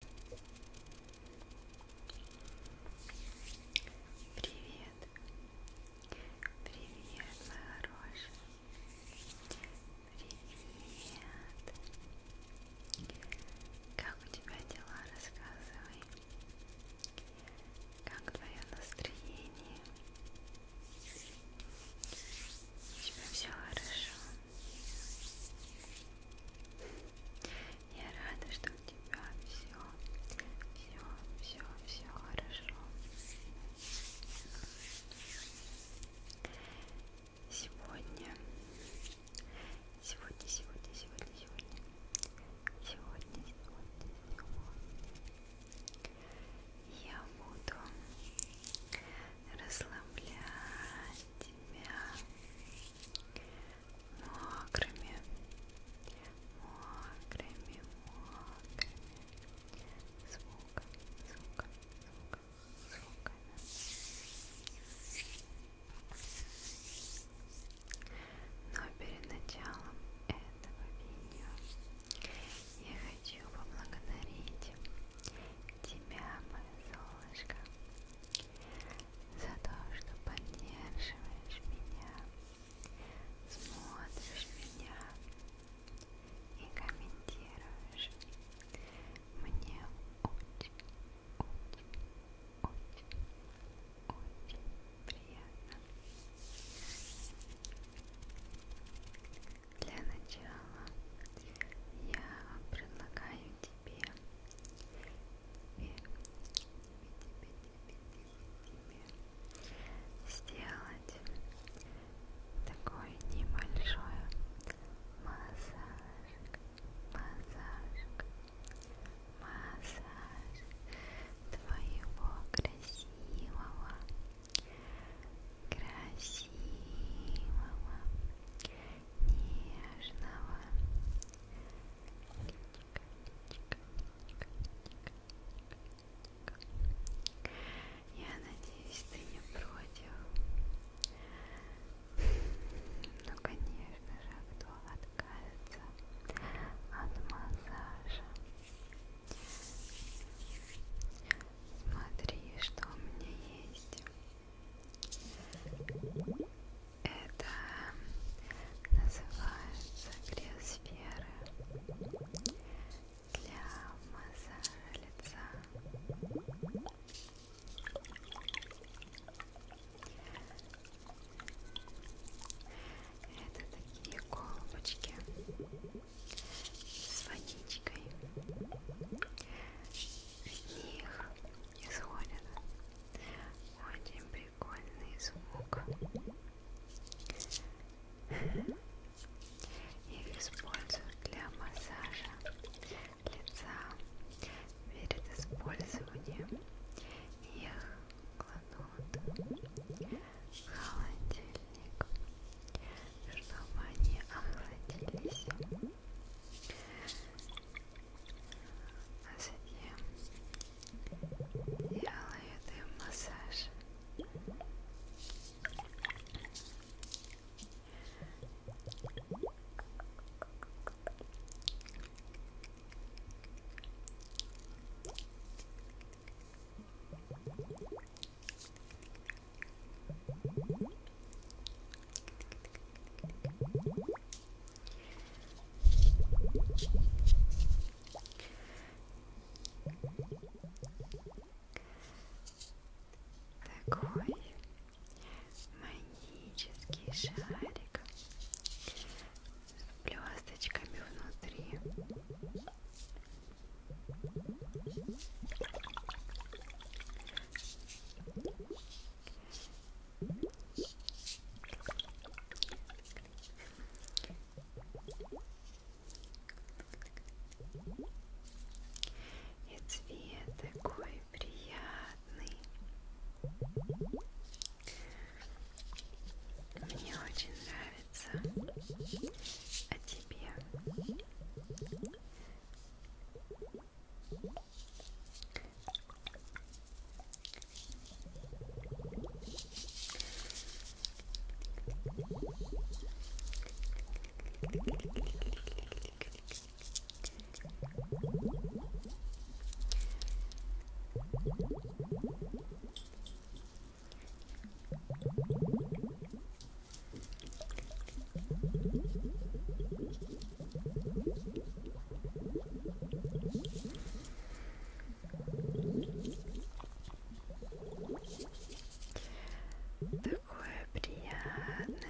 Привет, привет, мои хорошие, привет. Как у тебя дела, рассказывай. Как твое настроение? У тебя все хорошо? Я рада, что у тебя все, все, все, все хорошо. Сегодня, сегодня, сегодня, сегодня, сегодня, сегодня, сегодня, сегодня я буду расслаблять тебя мокрыми, мокрыми, мокрыми звуком, звуком, звуком, звуками. Но перед началом этого видео я хочу поблагодарить тебя, мое солнышко, за то, что поддерживаешь меня, смотришь меня и комментируешь. Мне очень, очень, очень, очень приятно. Для начала я предлагаю тебе, тебе, тебе, тебе, тебе сделать такой небольшой массажик, массажик, массаж твоего красивого красивого, нежного личика, личика, личика, личика, личика. Я надеюсь, ты не против. Ну, конечно же, кто а откажется от массажа? Смотри, что у меня есть. Это называется кресферы для массажа лица. Это такие колбочки с водичкой. От них исходит очень прикольный звук. Их используют для массажа лица перед использованием. Их кладут холодильник, чтобы они охладились. А затем делаю дым массаж. Хорошо. Такой магический шарик с блесточками внутри. И цвет такой приятный. Мне очень нравится нравится о а тебе. Такое приятное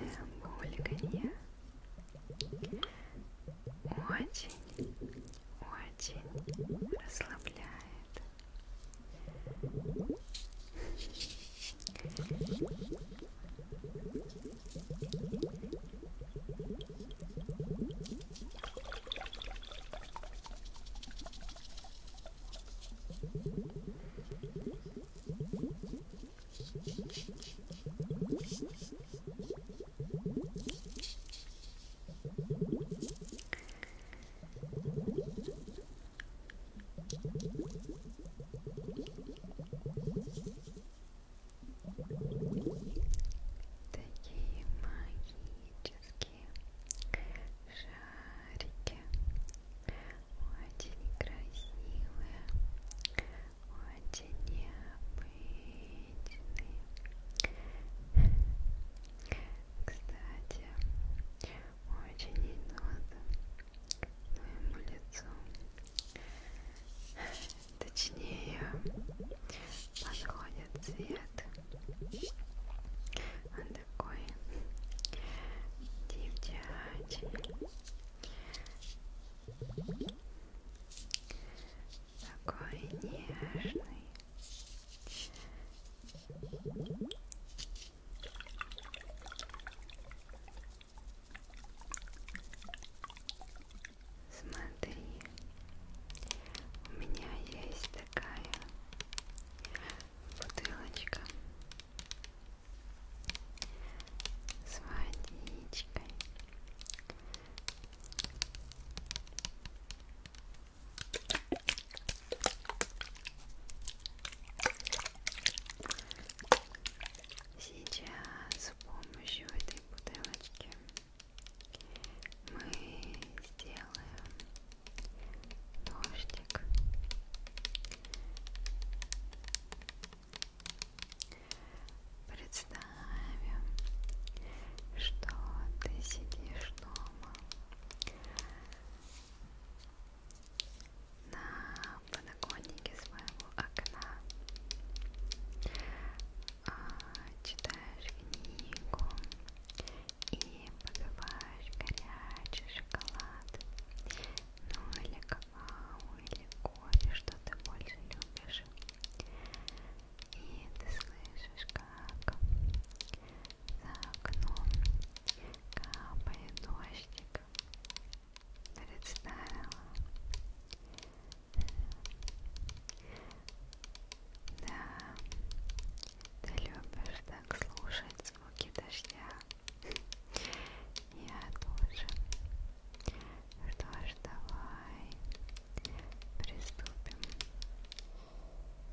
бульканье. Очень очень расслабляет. Такие магические шарики, очень красивые, очень необычный. Кстати, очень идет моему лицу. Точнее, подходит цвет. Он такой девчачий такой нежный. Смотри, у меня есть такая бутылочка с водичкой. Сейчас с помощью этой бутылочки мы сделаем дождик Представим, что ты сидишь дома на подоконнике своего окна, а, читаешь книгу и попиваешь горячий шоколад, ну или какой какао или кофе, что ты больше любишь. И ты слышишь, как за окном капает дождик. Представила. Да, ты любишь так слушать звуки дождя. Я тоже. Что ж, давай приступим.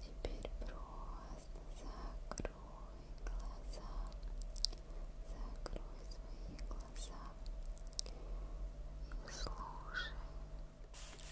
Теперь просто закрой глаза. Закрой свои глаза и слушай. Теперь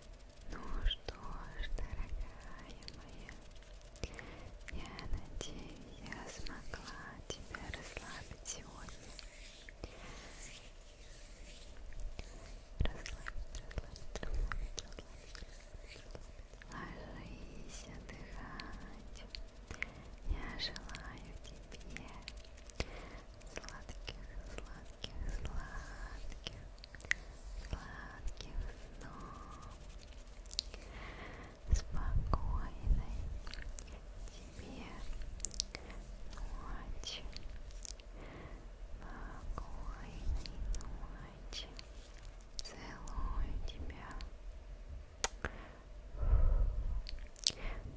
Ну что ж, дорогая моя, я надеюсь, я смогла тебя расслабить сегодня. Расслабить, расслабить, расслабить, расслабить. Ложись отдыхать. Я желаю тебе Сладких, сладких, сладких, сладких снов. Спокойной тебе ночи. Спокойной ночи. Целую тебя.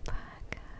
Пока.